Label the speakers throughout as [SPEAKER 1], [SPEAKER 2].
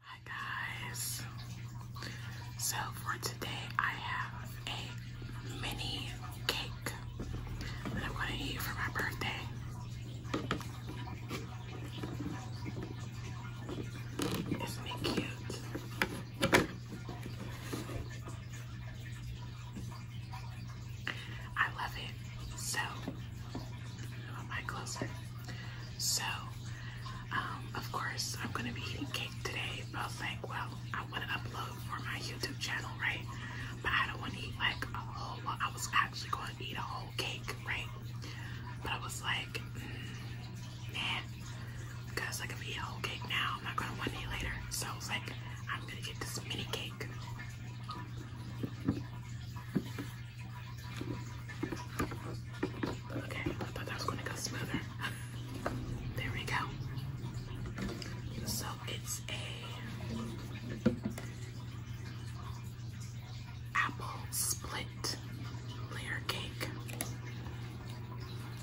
[SPEAKER 1] Hi guys, so for today I have a mini cake that I'm going to eat for my birthday. Isn't it cute? I love it. So so, um, of course, I'm gonna be eating cake today, but I was like, well, I wanna upload for my YouTube channel, right? But I don't wanna eat like a whole I was actually gonna eat a whole cake, right? But I was like, mm, nah, because I can eat a whole cake now, I'm not gonna want to eat later. So I was like, I'm gonna get this mini cake. Okay, I thought that was gonna go smoother. there we go. So it's a apple split layer cake.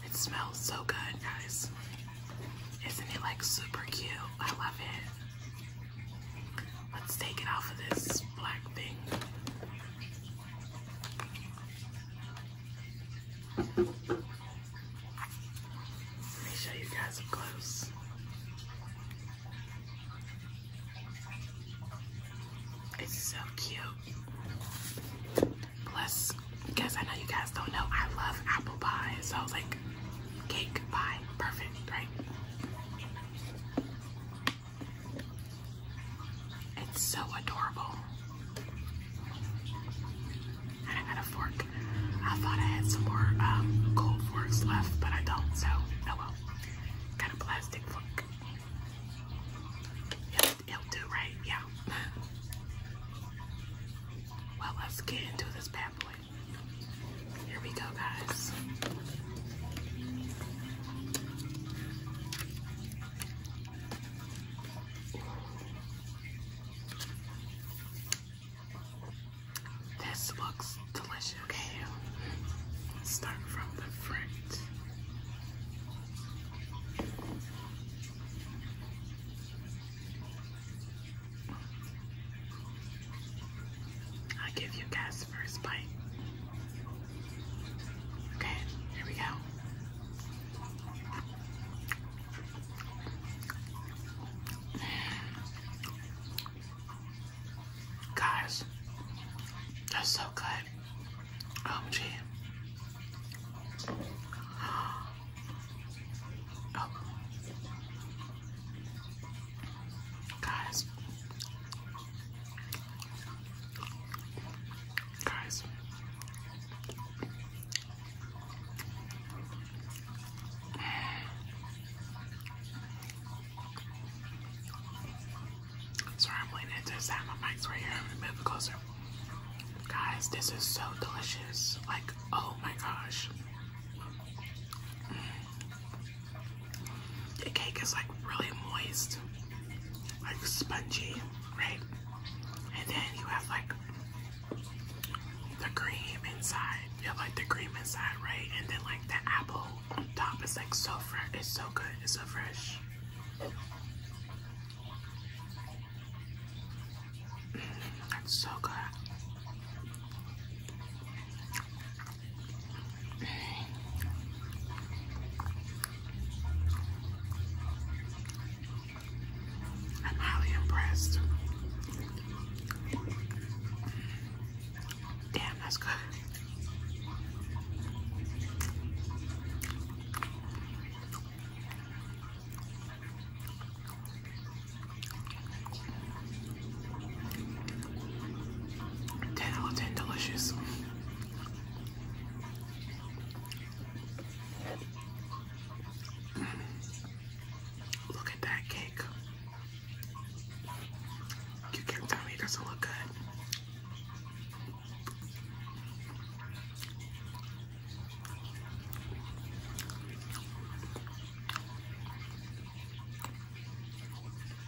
[SPEAKER 1] It smells so good, guys. Isn't it like super cute? I love it. Let's take it off of this black thing. Let me show you guys up close. It's so cute. Plus, because I know you guys don't know, I love apple pie. So like, cake pie, perfect, right? It's so adorable. And I got a fork. I thought I had some more um, forks left, but I don't, so oh well. Got plastic fork. it'll do, right? Yeah. well, let's get into this bad boy. Here we go, guys. This looks delicious. Okay, let start from the front. I'll give you guys first bite. Okay, here we go. Guys, that's so good. Oh, gee. Oh. Guys. Guys. Sorry, I'm leaning to the My mic's right here. Let me move closer. Guys, this is so delicious. Like, oh my gosh. Mm. The cake is like really moist, like spongy, right? And then you have like the cream inside. You have like the cream inside, right? And then like the apple on top is like so fresh. It's so good. It's so fresh. It's mm-hmm. so good. I'm highly impressed. Damn, that's good. 10 out of 10 delicious. Look at that cake. You can tell me it doesn't look good.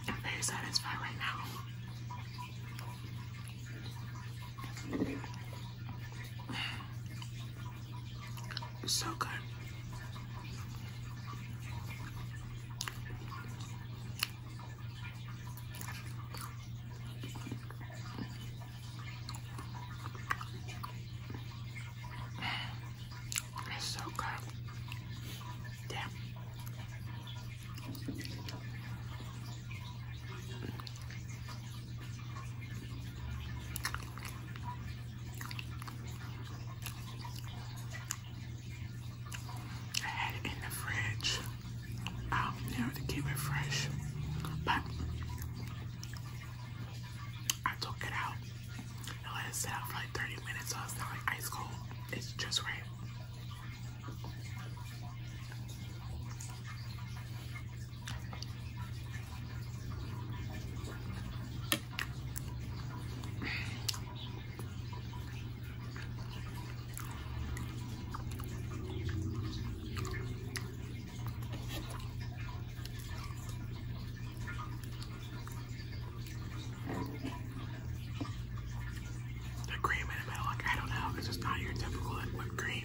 [SPEAKER 1] I'm very satisfied right now. so good. It's so good. Damn. I had it in the fridge. I'll never to keep it fresh, but I took it out I let it sit out for like 30 minutes so it's not like ice cold. It's just right. The cream in the middle, like I don't know, this is not your typical like, whipped cream.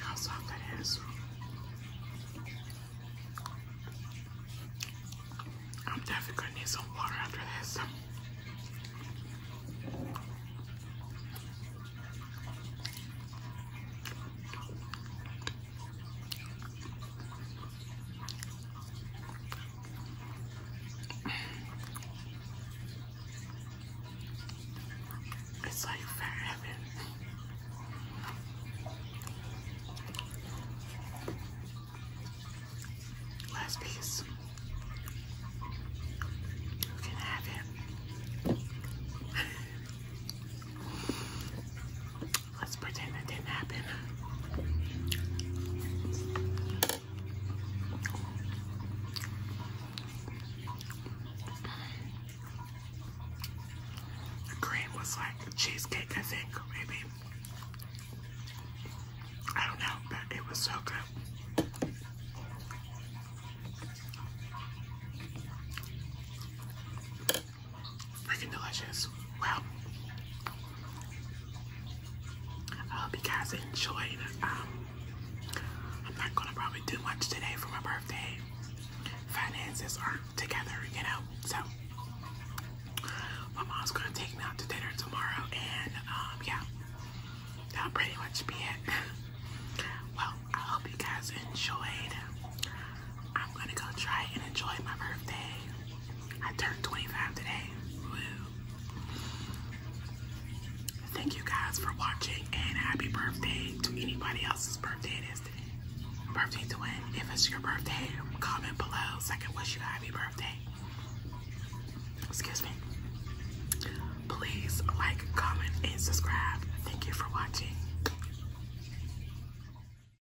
[SPEAKER 1] How soft it is. I'm definitely gonna need some water after this. It's like fair heaven. Last piece. You can have it. Let's pretend it didn't happen. The cream was like cheesecake, I think, maybe. I don't know, but it was so good freaking delicious. Well, I hope you guys enjoyed. Um, I'm not gonna probably do much today for my birthday. Finances aren't together, you know. So my mom's gonna take me out to dinner tomorrow, and um, yeah, that'll pretty much be it. well, I hope you guys enjoyed. I'm gonna go try and enjoy my birthday. I turned 25 today. Thank you guys for watching and happy birthday to anybody else's birthday today. Birthday to win. If it's your birthday, comment below so I can wish you a happy birthday. Excuse me. Please like, comment, and subscribe. Thank you for watching.